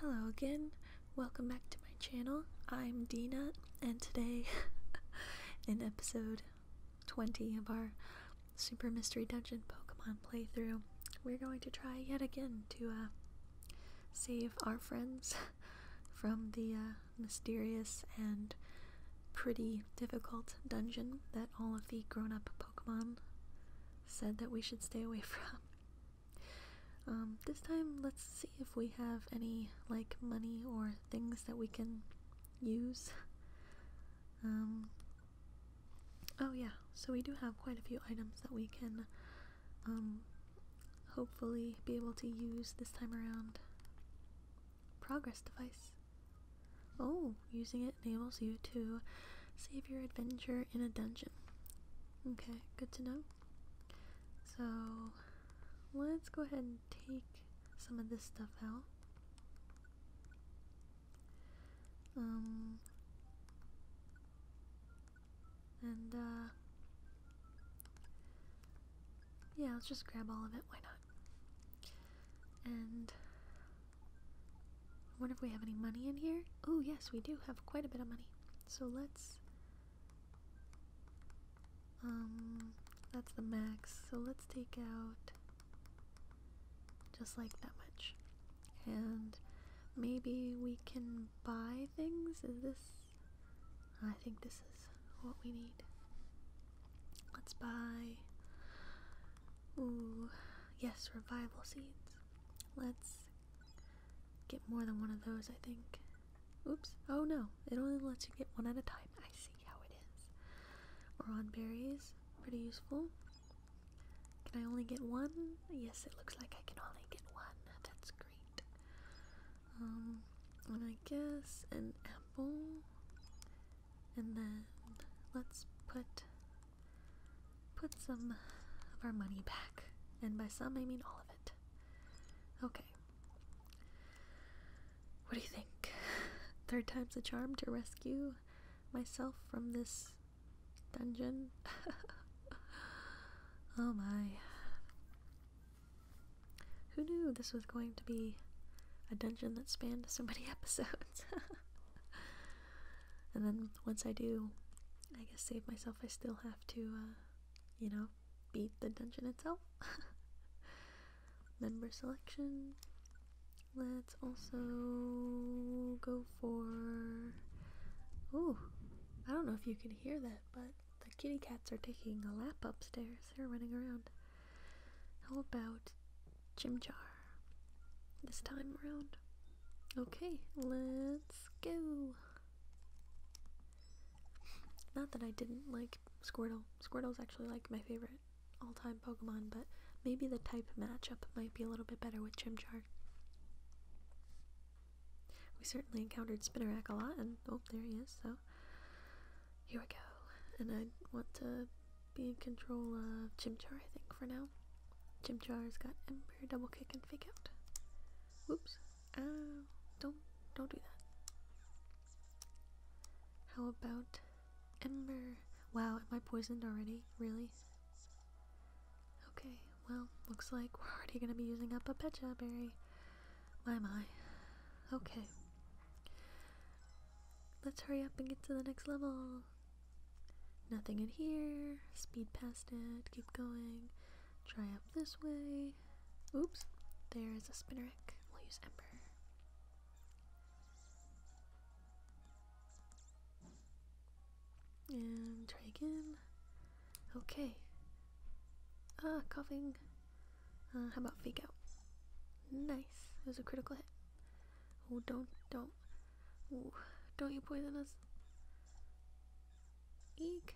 Hello again, welcome back to my channel. I'm Dina, and today, in episode 20 of our Super Mystery Dungeon Pokemon playthrough, we're going to try yet again to uh, save our friends from the uh, mysterious and pretty difficult dungeon that all of the grown up Pokemon said that we should stay away from. Um, this time, let's see if we have any like money or things that we can use. Um, oh, yeah, so we do have quite a few items that we can um, hopefully be able to use this time around. Progress device. Oh, using it enables you to save your adventure in a dungeon. Okay, good to know. So let's go ahead and take some of this stuff out. Um, and uh, yeah, let's just grab all of it. Why not? And wonder if we have any money in here. Oh, yes, we do have quite a bit of money. So let's. Um, that's the max. So let's take out just like that much. And maybe we can buy things? Is this. I think this is what we need. Let's buy. Ooh, yes, revival seeds. Let's get more than one of those, I think. Oops. Oh no, it only lets you get one at a time. I see how it is. Moron berries, pretty useful. Can I only get one? Yes, it looks like I can only get one. That's great. Um, and I guess an apple. And then let's put put some of our money back. And by some, I mean all of it. Okay. What do you think? Third time's a charm to rescue myself from this dungeon? oh my. Who knew this was going to be a dungeon that spanned so many episodes? and then once I do I guess save myself. I still have to, uh, you know, beat the dungeon itself. Member selection. Let's also go for. Oh, I don't know if you can hear that, but the kitty cats are taking a lap upstairs. They're running around. How about Jim Jar, this time around? Okay, let's go. Not that I didn't like Squirtle. Squirtle's actually like my favorite all-time Pokemon, but maybe the type matchup might be a little bit better with Chimchar. We certainly encountered Spinarak a lot, and oh, there he is, so here we go. And I want to be in control of Chimchar, I think, for now. Chimchar's got Ember, Double Kick, and Fake Out. Oops. Uh, don't don't do that. How about Ember? Wow, am I poisoned already? Really? Okay, well, looks like we're already gonna be using up a Pecha berry. My my. Okay. Let's hurry up and get to the next level. Nothing in here. Speed past it. Keep going. Try up this way. Oops. There is a spinnerick. We'll use Ember. And try again. Okay. Ah, coughing. Uh, how about fake out? Nice. It was a critical hit. Oh, don't, don't. Ooh, don't you poison us. Eek.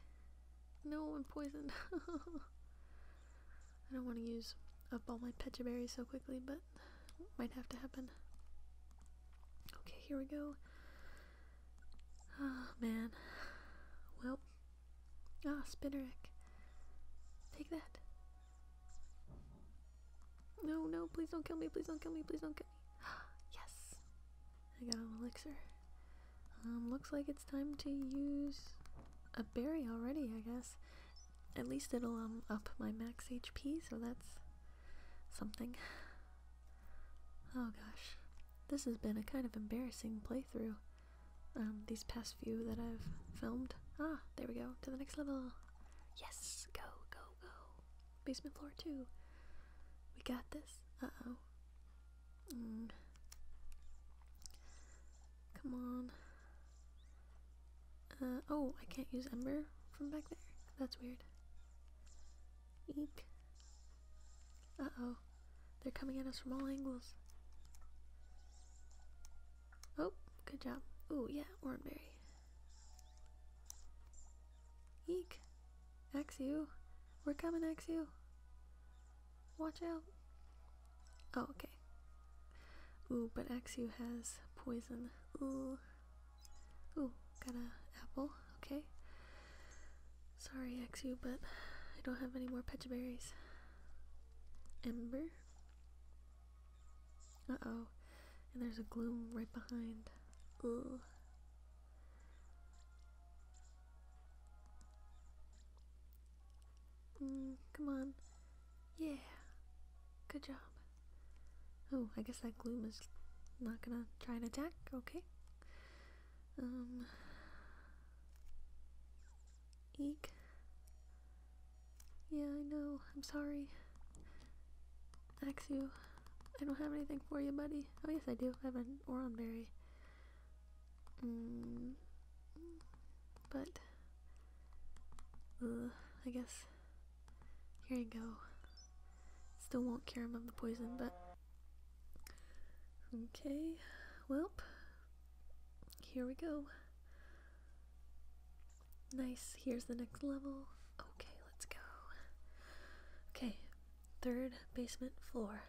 No, I'm poisoned. I don't want to use up all my petcha berries so quickly, but might have to happen. Okay, here we go. Oh man. Well. Ah, Spinnerick, Take that. No, no, please don't kill me, please don't kill me, please don't kill me. yes! I got an elixir. Um, looks like it's time to use a berry already, I guess. At least it'll um up my max HP, so that's something. Oh gosh. This has been a kind of embarrassing playthrough. Um, these past few that I've filmed. Ah, there we go. To the next level. Yes, go, go, go. Basement floor two. We got this. Uh-oh. Come on. Uh, oh, I can't use Ember from back there. That's weird. Eek. Uh-oh. They're coming at us from all angles. Oh, good job. Oh yeah, Oranberry. Eek! XU! We're coming, XU! Watch out! Oh, okay. Ooh, but XU has poison. Ooh. Ooh, got a apple. Okay. Sorry, XU, but I don't have any more petcha berries. Ember? Uh-oh. And there's a gloom right behind. Ooh. Mm, come on. Yeah. Good job. Oh, I guess that gloom is not gonna try and attack. Okay. Um. Eek. Yeah, I know. I'm sorry. Axew. I don't have anything for you, buddy. Oh, yes, I do. I have an Oron Berry. Mm, but uh, I guess here you go. Still won't cure him of the poison, but okay. Welp, here we go. Nice. Here's the next level. Okay, let's go. Okay, third basement floor.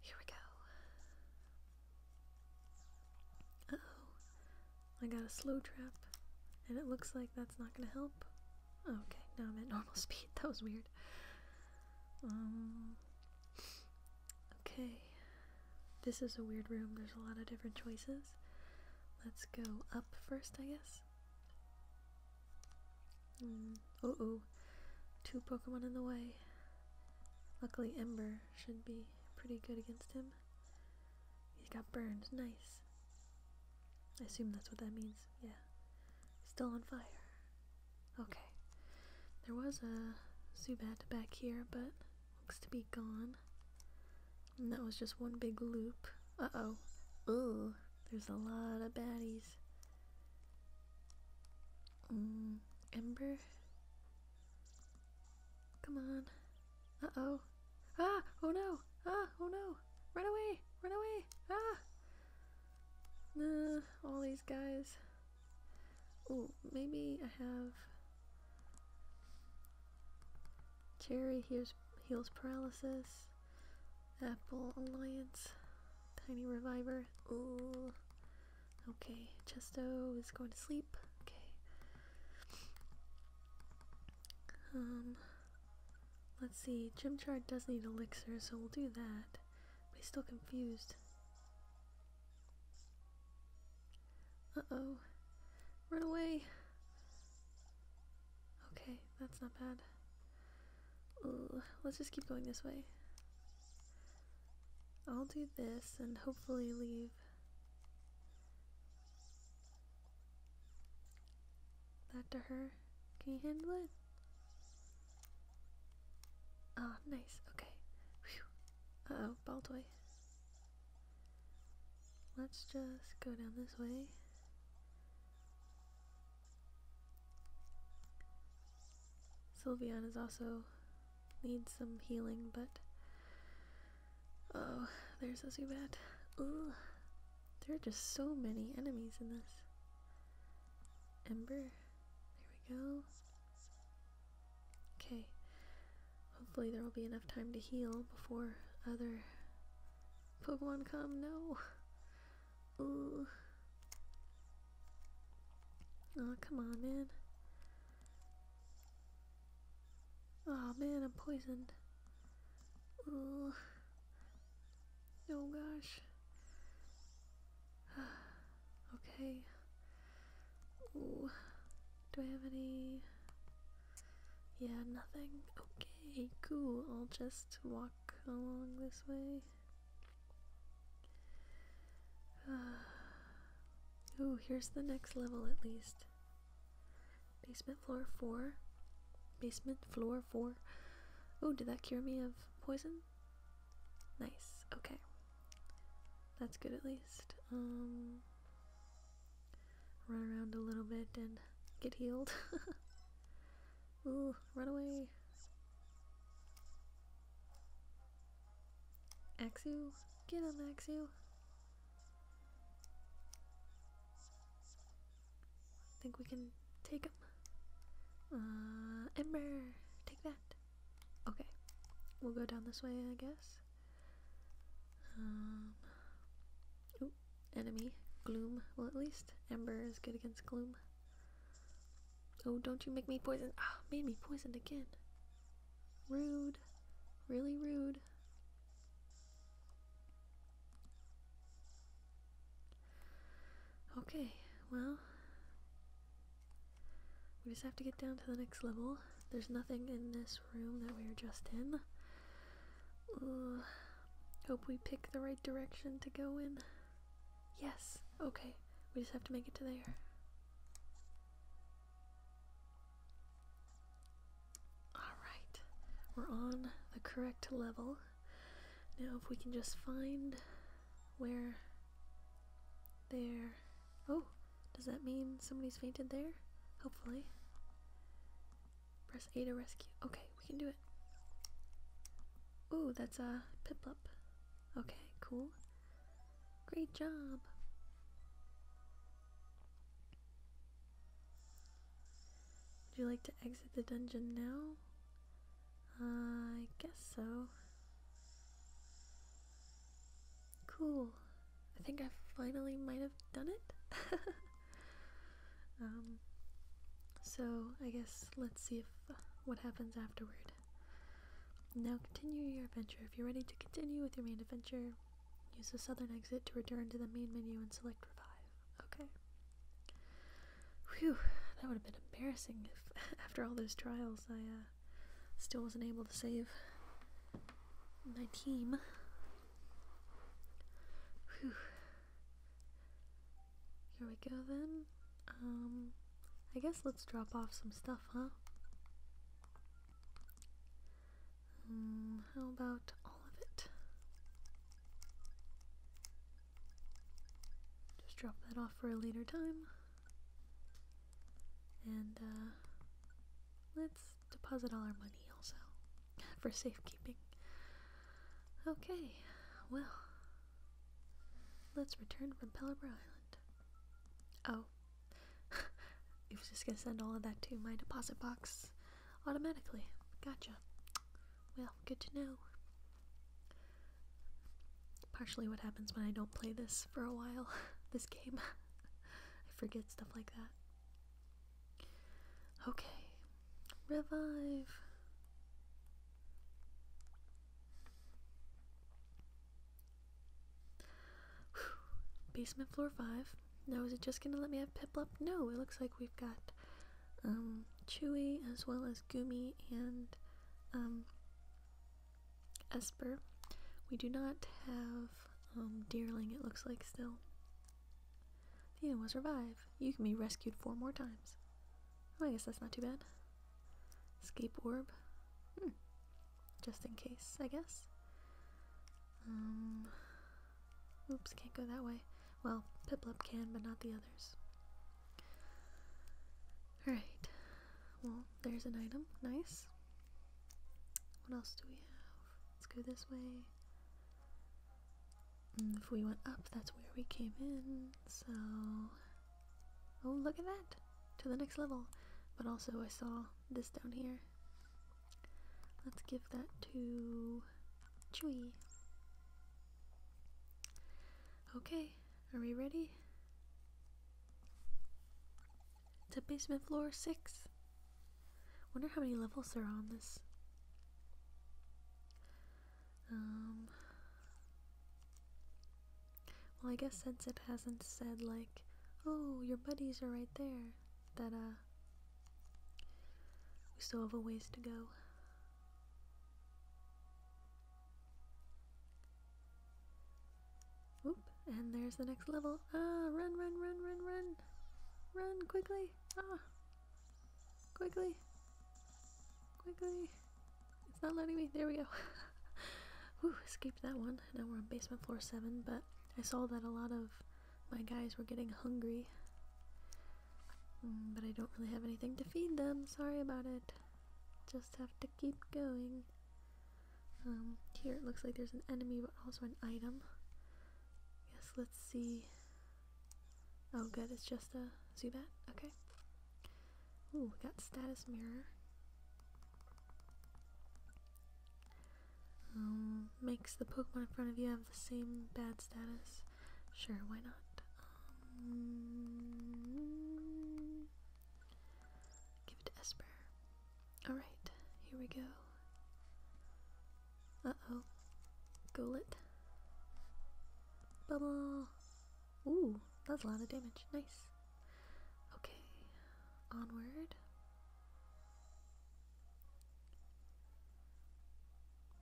Here we go. oh. I got a slow trap, and it looks like that's not gonna help. Okay, now I'm at normal speed. That was weird. Um. Okay. This is a weird room. There's a lot of different choices. Let's go up first, I guess. Mm. Two Pokemon in the way. Luckily, Ember should be pretty good against him. He has got burned. Nice. I assume that's what that means. Yeah. Still on fire. Okay. There was a Zubat back here, but looks to be gone. And that was just one big loop. Uh-oh. Ooh. There's a lot of baddies. Mm, Ember? Come on. Uh-oh. Ah! Oh no! Ah! Oh no! Run away! Run away! Ah! Nah, all these guys. Oh, maybe I have... Cherry Here's heals paralysis. Apple Alliance. Tiny Reviver. Ooh. Okay, Chesto is going to sleep. Okay. Um let's see, Chart does need elixir, so we'll do that. But he's still confused. Uh-oh. Run away! Okay, that's not bad. let's just keep going this way. I'll do this and hopefully leave that to her. Can you handle it? Ah, oh, nice. Okay. Whew. Uh oh, ball toy. Let's just go down this way. Sylvian is also needs some healing, but oh, there's a Zubat. Ugh. There are just so many enemies in this. Ember. There we go. Okay. Hopefully there will be enough time to heal before other Pokemon come. No! Ooh. Oh, come on, man. Oh, man, I'm poisoned. Ooh. Oh, gosh. okay. Ooh. Do I have any... Yeah, nothing. Okay, cool. I'll just walk along this way. oh, here's the next level at least. Basement floor 4. Basement floor 4. Ooh, did that cure me of poison? Nice, okay. That's good at least. Um, run around a little bit and get healed. Ooh, run away. Axu, get him, Axu. Think we can take him. Uh, Ember, take that. Okay, we'll go down this way, I guess. Um, Ooh, enemy. Gloom. Well, at least Ember is good against Gloom. Oh, don't you make me poison. Ah, made me poisoned again. Rude. Really rude. Okay, well. We just have to get down to the next level. There's nothing in this room that we are just in. Hope we pick the right direction to go in. Yes, okay. We just have to make it to there. Alright, we're on the correct level. Now, if we can just find where. There. Oh, does that mean somebody's fainted there? Hopefully. Press A to rescue. Okay, we can do it. Ooh, that's a pip Piplup. Okay, cool. Great job. Would you like to exit the dungeon now? I guess so. Cool. I think I finally might have done it. Um, so I guess let's see if uh, what happens afterward. Now continue your adventure. If you're ready to continue with your main adventure, use the southern exit to return to the main menu and select revive. Okay. Whew, that would have been embarrassing if after all those trials I uh, still wasn't able to save my team. Whew. Here we go then. Um, I guess let's drop off some stuff, huh? Um, how about all of it? Just drop that off for a later time. And, uh, let's deposit all our money also. for safekeeping. Okay, well, let's return from Pelipper Island. Oh, it was just gonna send all of that to my deposit box automatically. Gotcha. Well, good to know. Partially what happens when I don't play this for a while, this game. I forget stuff like that. Okay, Revive. Basement floor five. Now is it just gonna let me have Piplup? No, it looks like we've got um, Chewy as well as Gumi and um, Esper. We do not have um, Deerling, it looks like, still. You end was revive. You can be rescued four more times. Well, oh, I guess that's not too bad. Escape orb. Hmm. Just in case, I guess. Um, oops, can't go that way. Well, Piplup can, but not the others. Alright. Well, there's an item. Nice. What else do we have? Let's go this way. If we went up, that's where we came in, so. Oh, look at that! To the next level! But also, I saw this down here. Let's give that to Chewy. Okay, are we ready? To basement floor 6. Wonder how many levels are on this. Um, well, I guess since it hasn't said, like, oh, your buddies are right there, that, uh, we still have a ways to go. Oop, and there's the next level. Ah, run, run, run, run, run! Run quickly! Ah, Quickly. Quickly. It's not letting me. There we go. Whew, escaped that one. Now we're on basement floor 7, but I saw that a lot of my guys were getting hungry. Mm, but I don't really have anything to feed them. Sorry about it. Just have to keep going. Um, here it looks like there's an enemy, but also an item. Yes, let's see. Oh good, it's just a Zubat? Okay. Ooh, we got status mirror. Um, makes the Pokemon in front of you have the same bad status. Sure, why not? Um, give it to Esper. Alright, here we go. Uh oh. Golet. Bubble. Ooh, that's a lot of damage. Nice. Okay. Onward.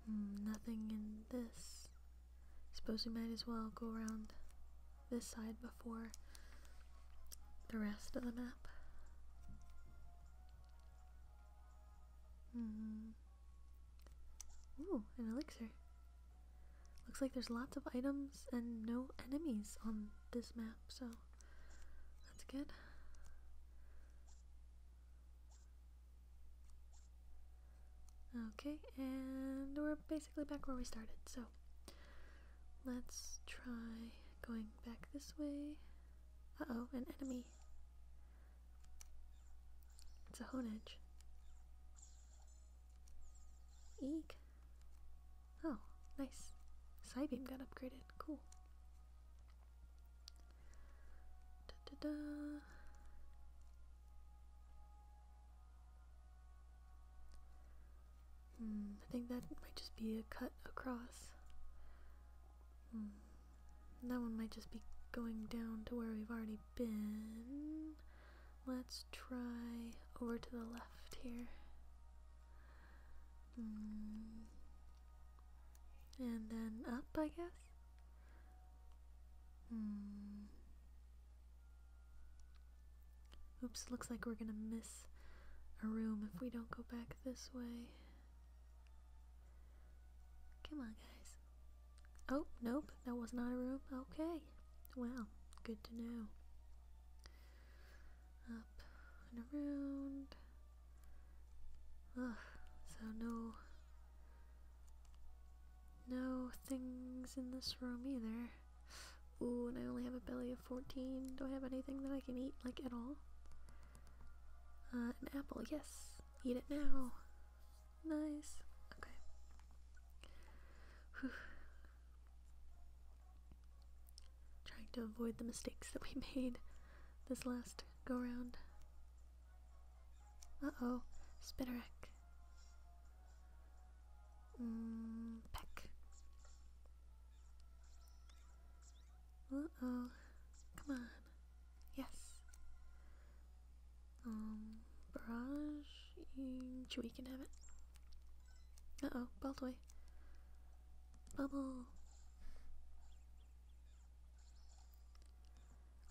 Hmm, nothing in this. Suppose we might as well go around this side before the rest of the map. Mm. Ooh, an elixir. Looks like there's lots of items and no enemies on this map, so that's good. Okay, and we're basically back where we started, so let's try going back this way. Uh-oh, an enemy. It's a honedge. Eek. Oh, nice. beam got upgraded. Cool. Hmm, I think that might just be a cut across. Hmm. That one might just be going down to where we've already been. Let's try over to the left here. Hmm. And then up, I guess? Hmm. Oops, looks like we're gonna miss a room if we don't go back this way. Come on, guys. Oh, nope, that was not a room. Okay. Well, good to know. Up and around. Ugh, so no... No things in this room either. Ooh, and I only have a belly of 14. Do I have anything that I can eat, like, at all? Uh, an apple, yes! Eat it now! Nice. Okay. Trying to avoid the mistakes that we made this last go round. Uh oh. Spinnerack. Mm, peck. Uh oh. Come on. Yes. Um, barrage. Mm, Chewie can have it. Uh oh, ball way. Bubble.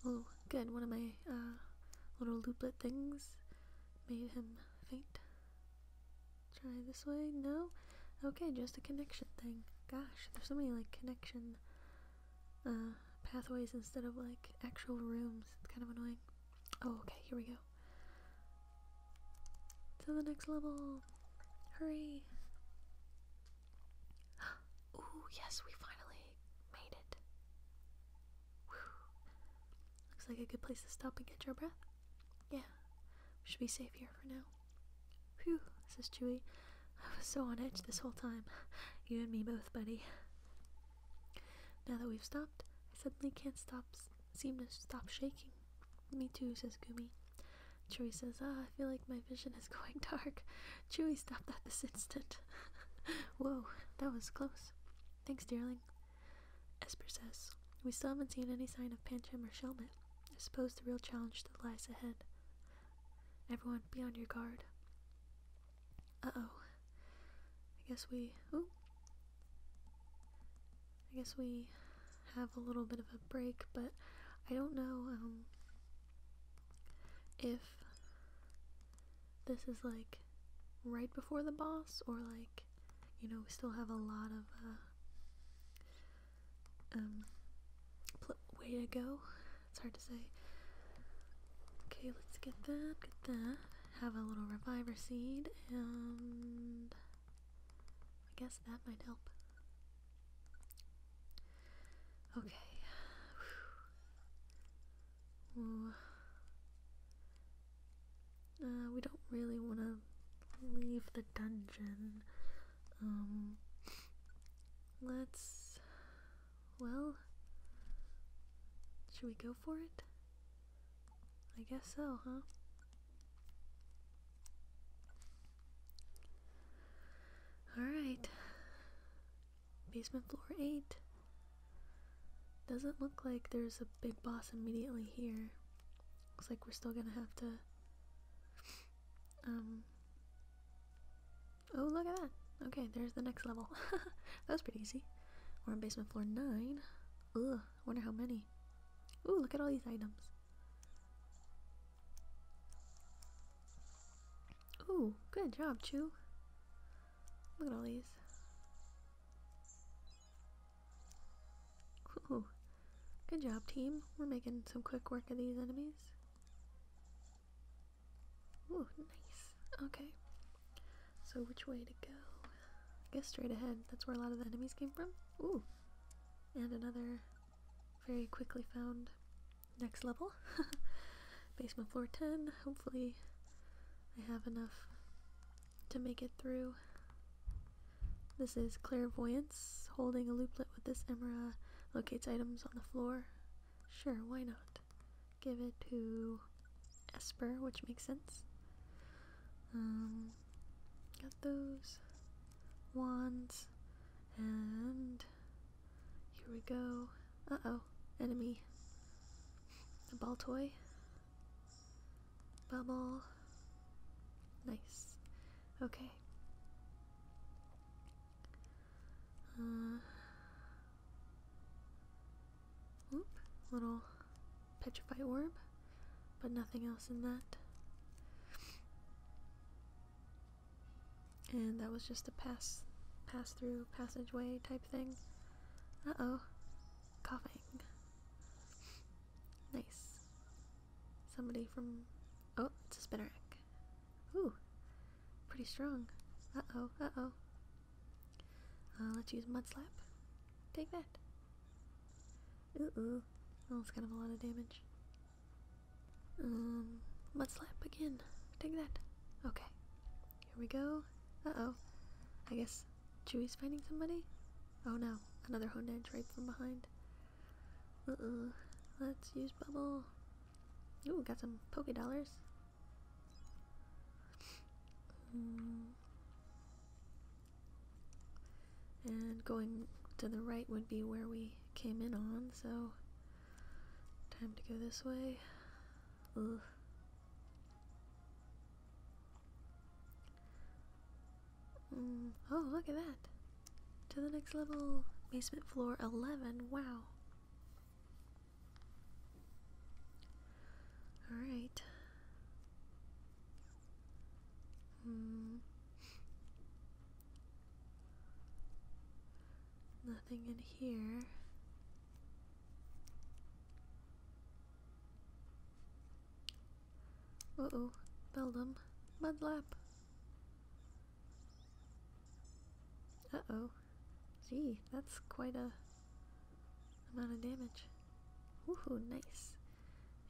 Oh, good. One of my uh, little looplet things made him faint. Try this way. No. Okay, just a connection thing. Gosh, there's so many like connection uh, pathways instead of like actual rooms. It's kind of annoying. Oh, okay, here we go. To the next level. Hurry. Ooh, yes, we finally made it. Looks like a good place to stop and catch our breath. Yeah, we should be safe here for now. Phew, says Chewy. I was so on edge this whole time. You and me both, buddy. Now that we've stopped, I suddenly can't stop, seem to stop shaking. Me too, says Gumi. Chewie says, ah, I feel like my vision is going dark. Chewie, stop that this instant. Whoa, that was close. Thanks, darling. Esper says, we still haven't seen any sign of Pancham or Shelmet. I suppose the real challenge that lies ahead. Everyone, be on your guard. Uh oh. I guess we. I guess we have a little bit of a break, but I don't know um, if this is like right before the boss or like, you know, we still have a lot of uh, um, way to go. It's hard to say. Okay, let's get that, get that. Have a little reviver seed, and I guess that might help. Okay. Uh, we don't really want to leave the dungeon. Um, let's well, should we go for it? I guess so, huh? Alright. Basement floor 8. Doesn't look like there's a big boss immediately here. Looks like we're still gonna have to um, Oh, look at that. Okay, there's the next level. that was pretty easy. We're on basement floor 9. Ugh, wonder how many. Ooh, look at all these items. Ooh, good job, Chew. Look at all these. Ooh, good job, team. We're making some quick work of these enemies. Ooh, nice. Okay. So which way to go? I guess straight ahead. That's where a lot of the enemies came from. Ooh. And another very quickly found next level. Basement floor 10. Hopefully I have enough to make it through. This is Clairvoyance. Holding a looplet with this emera locates items on the floor Sure, why not? Give it to Esper, which makes sense. Um, got those wands, and here we go. Uh oh, enemy. A ball toy. Bubble. Nice. Okay. Uh, Oop, little petrify orb, but nothing else in that. And that was just a pass pass through passageway type thing. Uh-oh. Coughing. Nice. Somebody from Oh, it's a spinnerack. Ooh. Pretty strong. Uh-oh, uh-oh. Uh, let's use Mudslap. Take that. Ooh, ooh. that's kind of a lot of damage. Um, Mudslap again. Take that. Okay. Here we go. Uh-oh. I guess Chewie's fighting somebody? Oh no. Another edge right from behind. uh Let's use Bubble. Ooh, got some Poké Dollars. Mm. And going to the right would be where we came in on, so time to go this way. Ugh. Mm, oh, look at that! To the next level! Basement floor 11, wow! All right. Mm. Nothing in here. Uh oh, Beldum, Mudlap. Uh oh. Gee, that's quite a amount of damage. Woohoo, nice.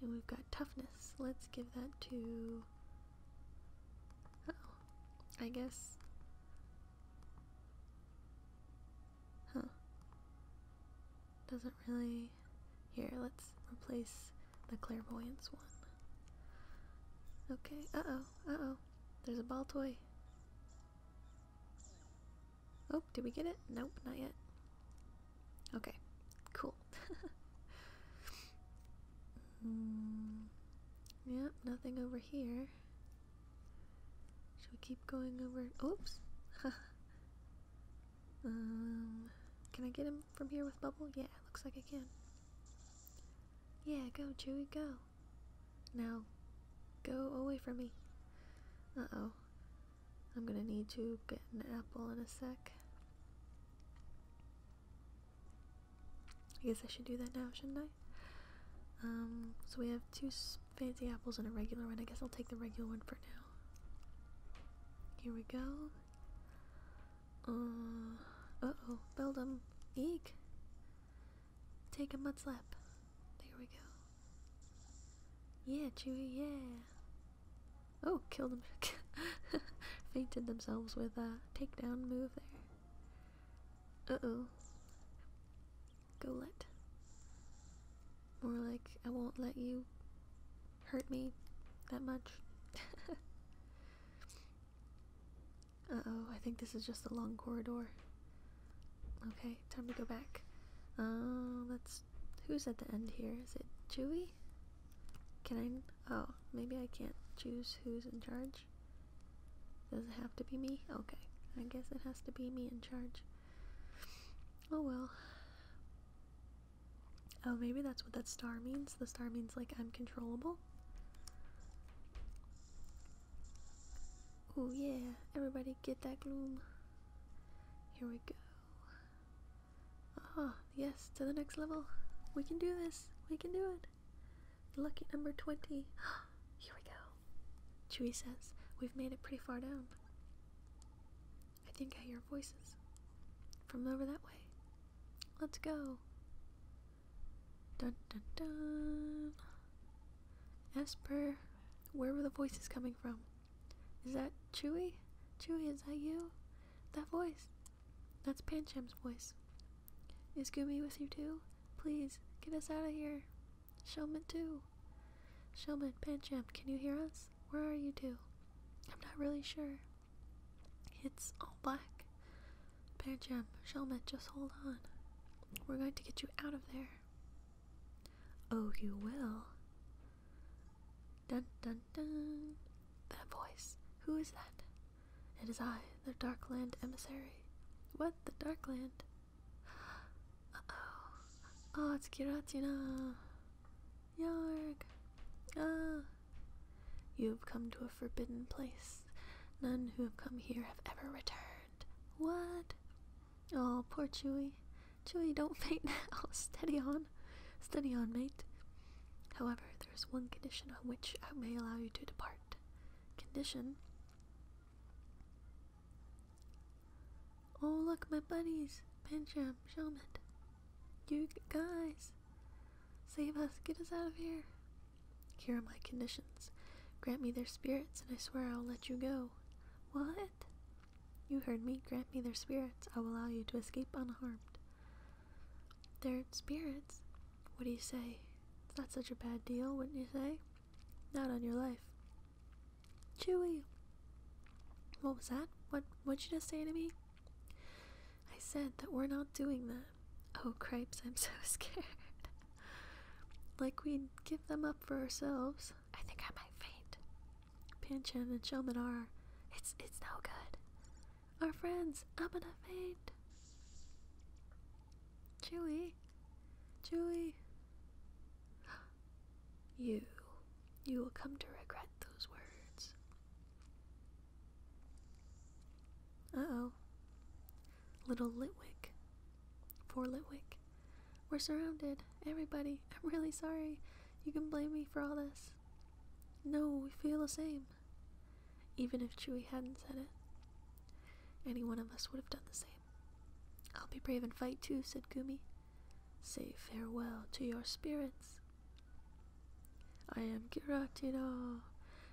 And we've got toughness. Let's give that to. oh. I guess. Huh. Doesn't really. Here, let's replace the clairvoyance one. Okay. Uh oh. Uh oh. There's a ball toy. Oh, did we get it? Nope, not yet. Okay, cool. mm, yep, nothing over here. Should we keep going over? Oops. um, can I get him from here with bubble? Yeah, looks like I can. Yeah, go, Chewy, go. Now, go away from me. Uh oh. I'm gonna need to get an apple in a sec. I guess I should do that now, shouldn't I? Um, so we have two fancy apples and a regular one. I guess I'll take the regular one for now. Here we go. Uh, uh oh, Beldum. Eek. Take a mud slap. There we go. Yeah, Chewy, yeah. Oh, killed them. Fainted themselves with a takedown move there. Uh oh. Go let. More like, I won't let you hurt me that much. Uh oh, I think this is just a long corridor. Okay, time to go back. Uh, that's Who's at the end here? Is it Chewy? Can I. Oh, maybe I can't choose who's in charge? Does it have to be me? Okay, I guess it has to be me in charge. Oh well. Oh, maybe that's what that star means. The star means, like, I'm controllable. Oh, yeah, everybody get that gloom. Here we go. Ah, yes, to the next level. We can do this. We can do it. Lucky number 20. Here we go. Chewie says, We've made it pretty far down. I think I hear voices from over that way. Let's go. Dun dun dun. As per, where were the voices coming from? Is that Chewy? Chewy, is that you? That voice? That's Pancham's voice. Is Goomy with you too? Please, get us out of here. Showman too. Showman, Pancham, can you hear us? Where are you too? i I'm not really sure. It's all black. Pancham, Showman, just hold on. We're going to get you out of there. Oh, you will. Dun dun dun. That voice. Who is that? It is I, the Darkland emissary. What? The Darkland? Uh oh. Oh, it's Giratina. Yarg. Ah. You have come to a forbidden place. None who have come here have ever returned. What? Oh, poor Chewy. Chewy, don't faint now. Steady on. Steady on, mate. However, there is one condition on which I may allow you to depart. Condition? Oh, look, my buddies. Pancham, Shelmet. You guys. Save us. Get us out of here. Here are my conditions. Grant me their spirits, and I swear I will let you go. What? You heard me. Grant me their spirits. I will allow you to escape unharmed. Their spirits? What do you say? It's not such a bad deal, wouldn't you say? Not on your life. Chewy! What was that? What what'd you just say to me? I said that we're not doing that. Oh cripes, I'm so scared. Like we'd give them up for ourselves. I think I might faint. Panchen and Shoman are. It's it's no good. Our friends, I'm gonna faint. Chewy. Chewy. You. You will come to regret those words. Uh oh. Little Litwick. Poor Litwick we're surrounded. Everybody, I'm really sorry. You can blame me for all this. No, we feel the same. Even if Chewie hadn't said it, any one of us would have done the same. I'll be brave and fight too, said Gumi. Say farewell to your spirits. I am Giraktino,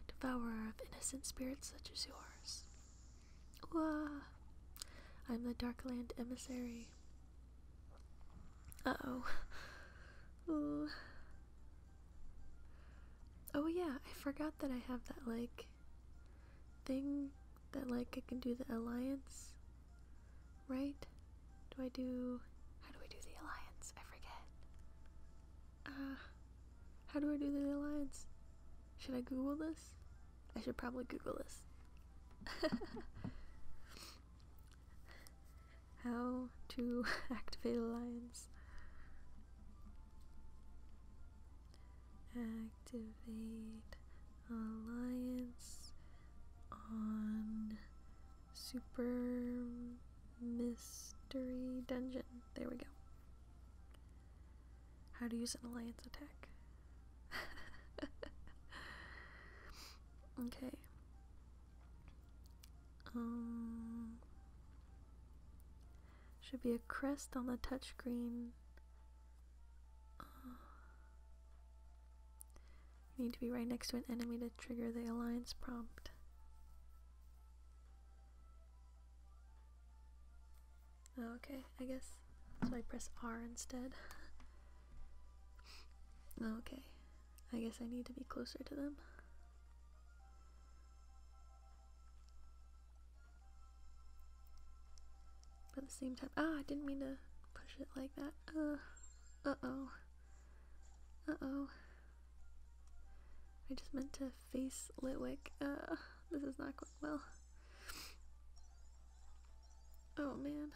devourer of innocent spirits such as yours. Wah! I'm the Darkland emissary. Uh oh. Ooh. Oh yeah, I forgot that I have that like thing that like I can do the alliance. Right? Do I do how do I do the alliance? I forget. Uh how do I do the alliance? Should I Google this? I should probably Google this. How to activate alliance. Activate alliance on Super Mystery Dungeon. There we go how to use an alliance attack. okay. Um, should be a crest on the touchscreen. you uh, need to be right next to an enemy to trigger the alliance prompt. Oh, okay, I guess. So I press R instead. Oh, okay, I guess I need to be closer to them. at the same time, ah, I didn't mean to push it like that. Uh, uh oh. Uh oh. I just meant to face Litwick. Uh, this is not going well. Oh man.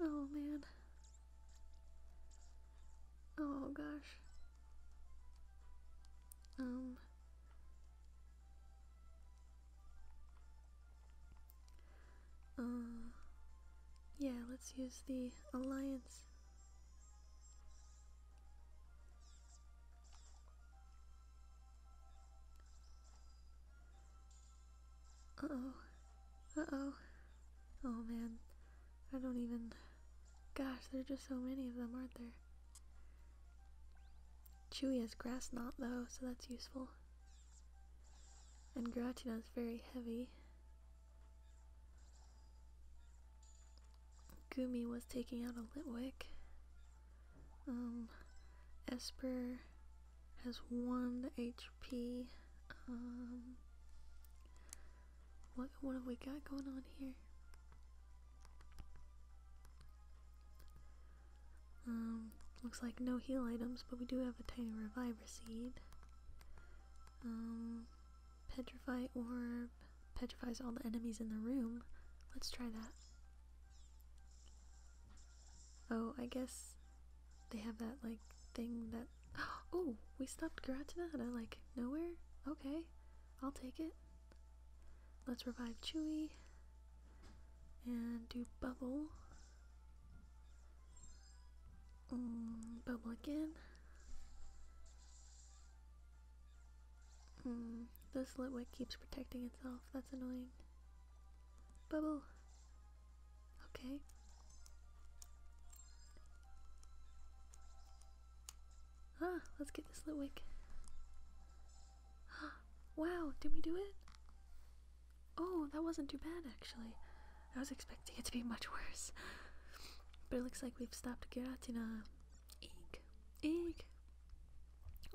Oh man. Oh gosh. Um. Uh, yeah, let's use the alliance. Uh-oh. Uh-oh. Oh, man. I don't even... Gosh, there are just so many of them, aren't there? Chewy has grass knot, though, so that's useful. And Gratino is very heavy. Gumi was taking out a Litwick. Um, Esper has one HP. Um, what have we got going on here? Um, looks like no heal items, but we do have a tiny reviver seed. petrify orb petrifies all the enemies in the room. Let's try that. Oh, I guess they have that like thing that. Oh, we stopped Garatinata like nowhere? Okay, I'll take it. Let's revive Chewy and do bubble. Mm, bubble again. Hmm, this litwick keeps protecting itself. That's annoying. Bubble! Okay. Ah, let's get this litwick. wow, did we do it? Oh, that wasn't too bad actually. I was expecting it to be much worse. but it looks like we've stopped Giratina. Eek. Eek.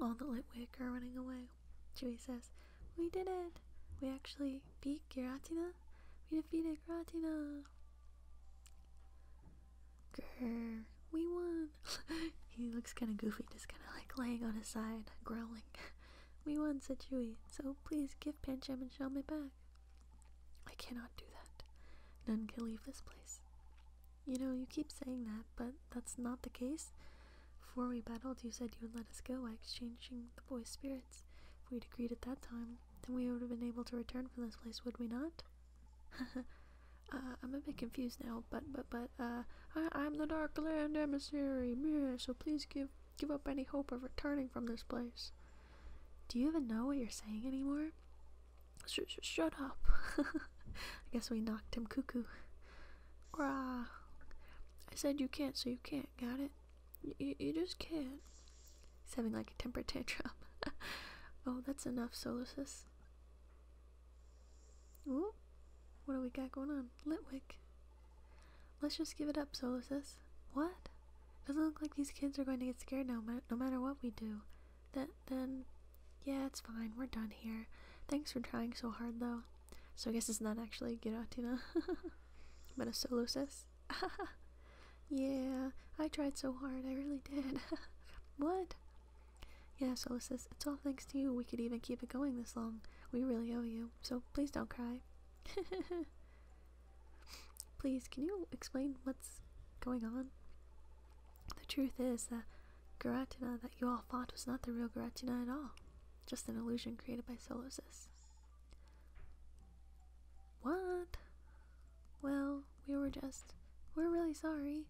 All the Litwick are running away. Chewie says, We did it! We actually beat Giratina? We defeated Giratina! we won! he looks kind of goofy, just kind of like laying on his side, growling. we won, said Chewie, so please give Pancham and Shell back. I cannot do that. None can leave this place. You know, you keep saying that, but that's not the case. Before we battled, you said you would let us go by exchanging the boy's spirits. If we'd agreed at that time, then we would have been able to return from this place, would we not? Uh, I'm a bit confused now, but, but, but, uh, I, am the Darkland Emissary, so please give, give up any hope of returning from this place. Do you even know what you're saying anymore? shut up. I guess we knocked him cuckoo. Rah. I said you can't, so you can't. Got it? Y you just can't. He's having like a temper tantrum. oh, that's enough, Solosis. Ooh, what do we got going on? Litwick. Let's just give it up, Solosis. What? Doesn't look like these kids are going to get scared no, ma no matter what we do then, yeah, it's fine. We're done here. Thanks for trying so hard, though. So I guess it's not actually Giratina, but a solo sis. yeah, I tried so hard. I really did. what? Yeah, solo sis. It's all thanks to you. We could even keep it going this long. We really owe you. So please don't cry. Please, can you explain what's going on? The truth is that Garatina that you all fought was not the real Garatina at all, just an illusion created by Solosis. What? Well, we were just. We're really sorry.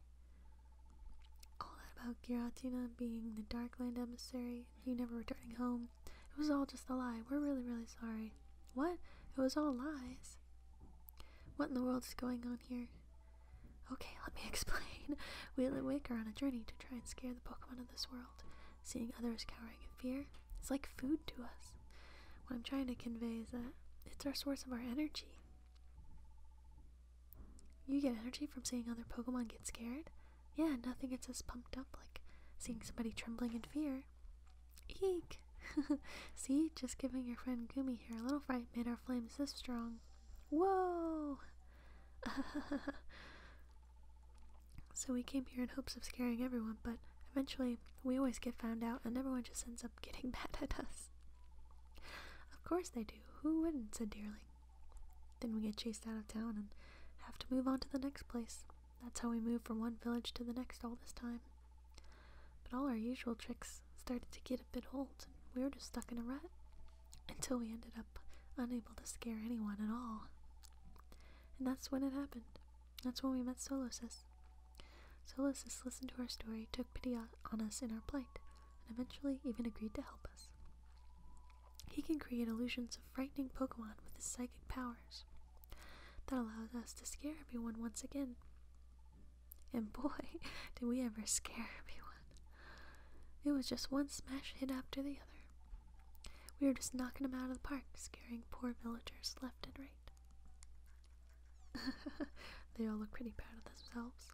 All that about Giratina being the Darkland emissary, you never returning home. It was all just a lie. We're really, really sorry. What? It was all lies. What in the world is going on here? Okay, let me explain. Wheel and Wick are on a journey to try and scare the Pokemon of this world. Seeing others cowering in fear, is like food to us. What I'm trying to convey is that it's our source of our energy. You get energy from seeing other Pokemon get scared? Yeah, nothing gets us pumped up like seeing somebody trembling in fear. Eek! See, just giving your friend Gumi here a little fright made our flames this strong. Whoa! so we came here in hopes of scaring everyone, but eventually we always get found out and everyone just ends up getting mad at us. Of course they do. Who wouldn't, said Deerling. Then we get chased out of town and have to move on to the next place. That's how we move from one village to the next all this time. But all our usual tricks started to get a bit old, and we were just stuck in a rut until we ended up unable to scare anyone at all. And that's when it happened. That's when we met Solosis. Solosis listened to our story, took pity on us in our plight, and eventually even agreed to help us. He can create illusions of frightening Pokemon with his psychic powers. That allows us to scare everyone once again. And boy, did we ever scare everyone. It was just one smash hit after the other. We were just knocking them out of the park, scaring poor villagers left and right. they all look pretty proud of themselves.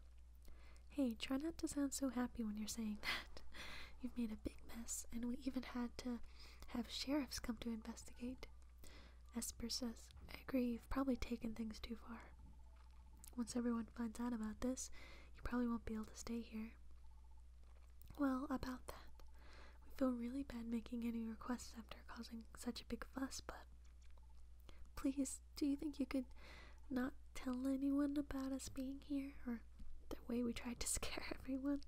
Hey, try not to sound so happy when you're saying that. You've made a big mess, and we even had to have sheriffs come to investigate. Esper says, I agree, you've probably taken things too far. Once everyone finds out about this, you probably won't be able to stay here. Well, about that. We feel really bad making any requests after causing such a big fuss, but please, do you think you could not tell anyone about us being here or the way we tried to scare everyone?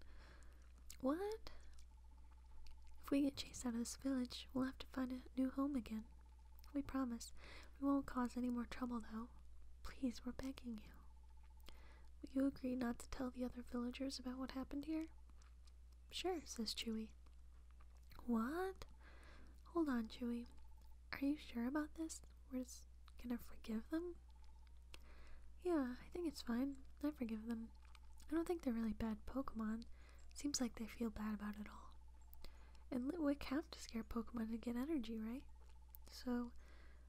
What? If we get chased out of this village, we'll have to find a new home again. We promise we won't cause any more trouble, though. Please, we're begging you. Will you agree not to tell the other villagers about what happened here? Sure, says Chewy. What? Hold on, Chewy. Are you sure about this? We're just gonna forgive them? Yeah, I think it's fine. I forgive them. I don't think they're really bad Pokemon. Seems like they feel bad about it all. And Litwick have to scare Pokemon to get energy, right? So,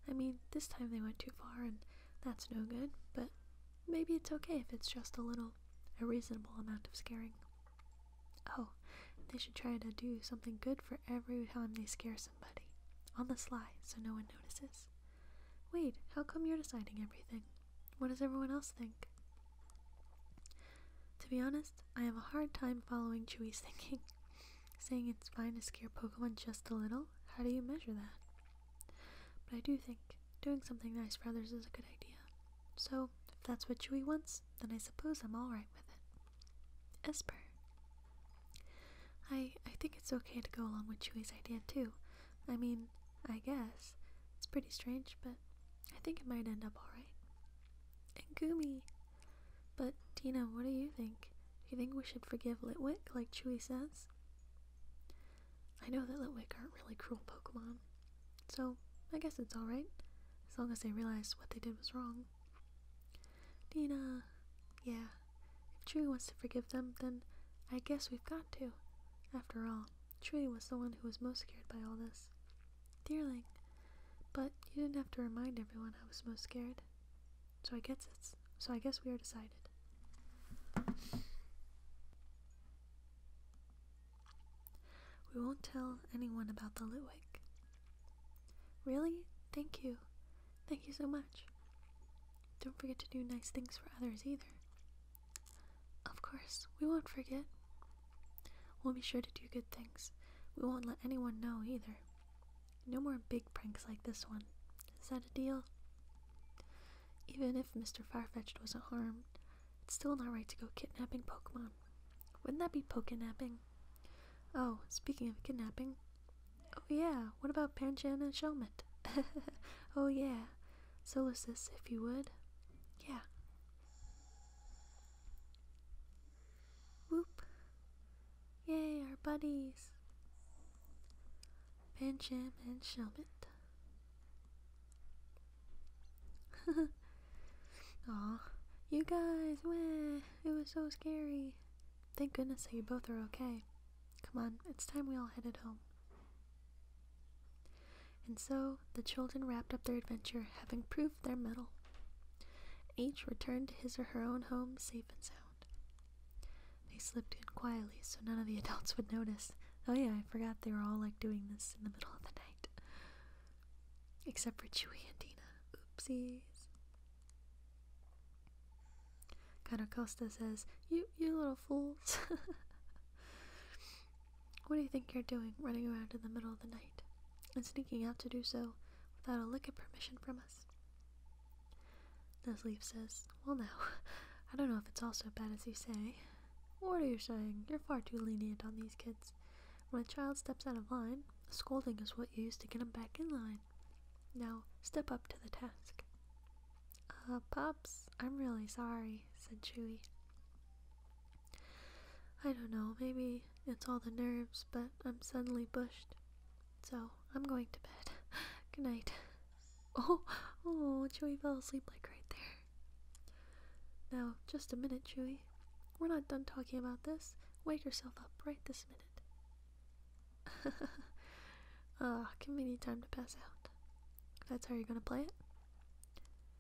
I mean, this time they went too far and that's no good, but maybe it's okay if it's just a little, a reasonable amount of scaring. Oh, they should try to do something good for every time they scare somebody. On the sly, so no one notices. Wait, how come you're deciding everything? What does everyone else think? To be honest, I have a hard time following Chewy's thinking. Saying it's fine to scare Pokemon just a little? How do you measure that? But I do think doing something nice for others is a good idea. So, if that's what Chewy wants, then I suppose I'm alright with it. Esper. I, I think it's okay to go along with Chewy's idea too. I mean, I guess. It's pretty strange, but I think it might end up alright. And Gumi. But, Tina, what do you think? Do you think we should forgive Litwick, like Chewy says? I know that Litwick aren't really cruel Pokemon, so I guess it's alright, as long as they realize what they did was wrong. Tina, yeah, if Chewy wants to forgive them, then I guess we've got to. After all, Chewy was the one who was most scared by all this. Dearling. But you didn't have to remind everyone I was most scared. So I guess it's so I guess we are decided. We won't tell anyone about the Litwick. Really? Thank you. Thank you so much. Don't forget to do nice things for others either. Of course, we won't forget. We'll be sure to do good things. We won't let anyone know either. No more big pranks like this one. Is that a deal? Even if Mr. Farfetched wasn't harmed, it's still not right to go kidnapping Pokemon. Wouldn't that be Pokennapping? Oh, speaking of kidnapping. Oh yeah, what about Panchan and Shelmet? oh yeah. Solicus, if you would. Yeah. Whoop. Yay, our buddies. Pancham and Shelmet. Aw, you guys, it was so scary. Thank goodness that you both are okay. Come on, it's time we all headed home. And so the children wrapped up their adventure, having proved their mettle. Each returned to his or her own home safe and sound. They slipped in quietly so none of the adults would notice. Oh, yeah, I forgot they were all like doing this in the middle of the night. Except for Chewie and Dina. Oopsies. Canacosta says, You, you little fools. what do you think you're doing running around in the middle of the night and sneaking out to do so? without a lick of permission from us. Nesleep says, Well, now, I don't know if it's all so bad as you say. What are you saying? You're far too lenient on these kids. When a child steps out of line, scolding is what you use to get him back in line. Now, step up to the task. Uh, Pops, I'm really sorry, said Chewy. I don't know, maybe it's all the nerves, but I'm suddenly bushed. So I'm going to bed. Good night. Oh, oh, Chewy fell asleep like right there. Now, just a minute, Chewy. We're not done talking about this. Wake yourself up right this minute. Ah, give me convenient time to pass out. That's how you're gonna play it?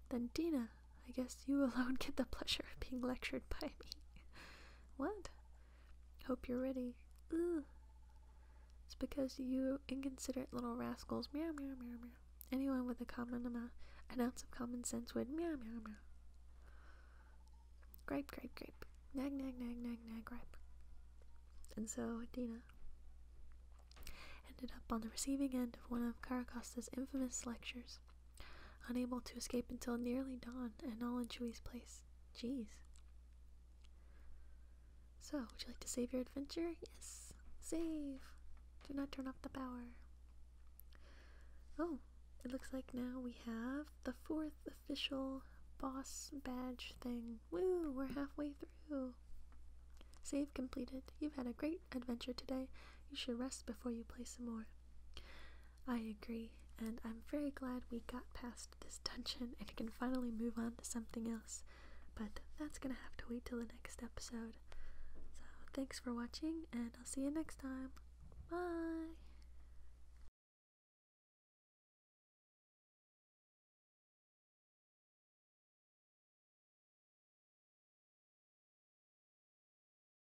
Then Dina, I guess you alone get the pleasure of being lectured by me. what? Hope you're ready. Ugh. It's because you inconsiderate little rascals. Meow, meow, meow, meow. Anyone with a common an ounce of common sense would meow, meow, meow. Gripe, gripe, gripe. Nag, nag, nag, nag, nag, grape. And so Dina ended up on the receiving end of one of Caracosta's infamous lectures unable to escape until nearly dawn, and all in Chewie's place. Jeez. So, would you like to save your adventure? Yes. Save. Do not turn off the power. Oh, it looks like now we have the fourth official boss badge thing. Woo, we're halfway through. Save completed. You've had a great adventure today. You should rest before you play some more. I agree, and I'm very glad we got past this dungeon and can finally move on to something else, but that's gonna have to wait till the next episode. So, thanks for watching, and I'll see you next time. Bye!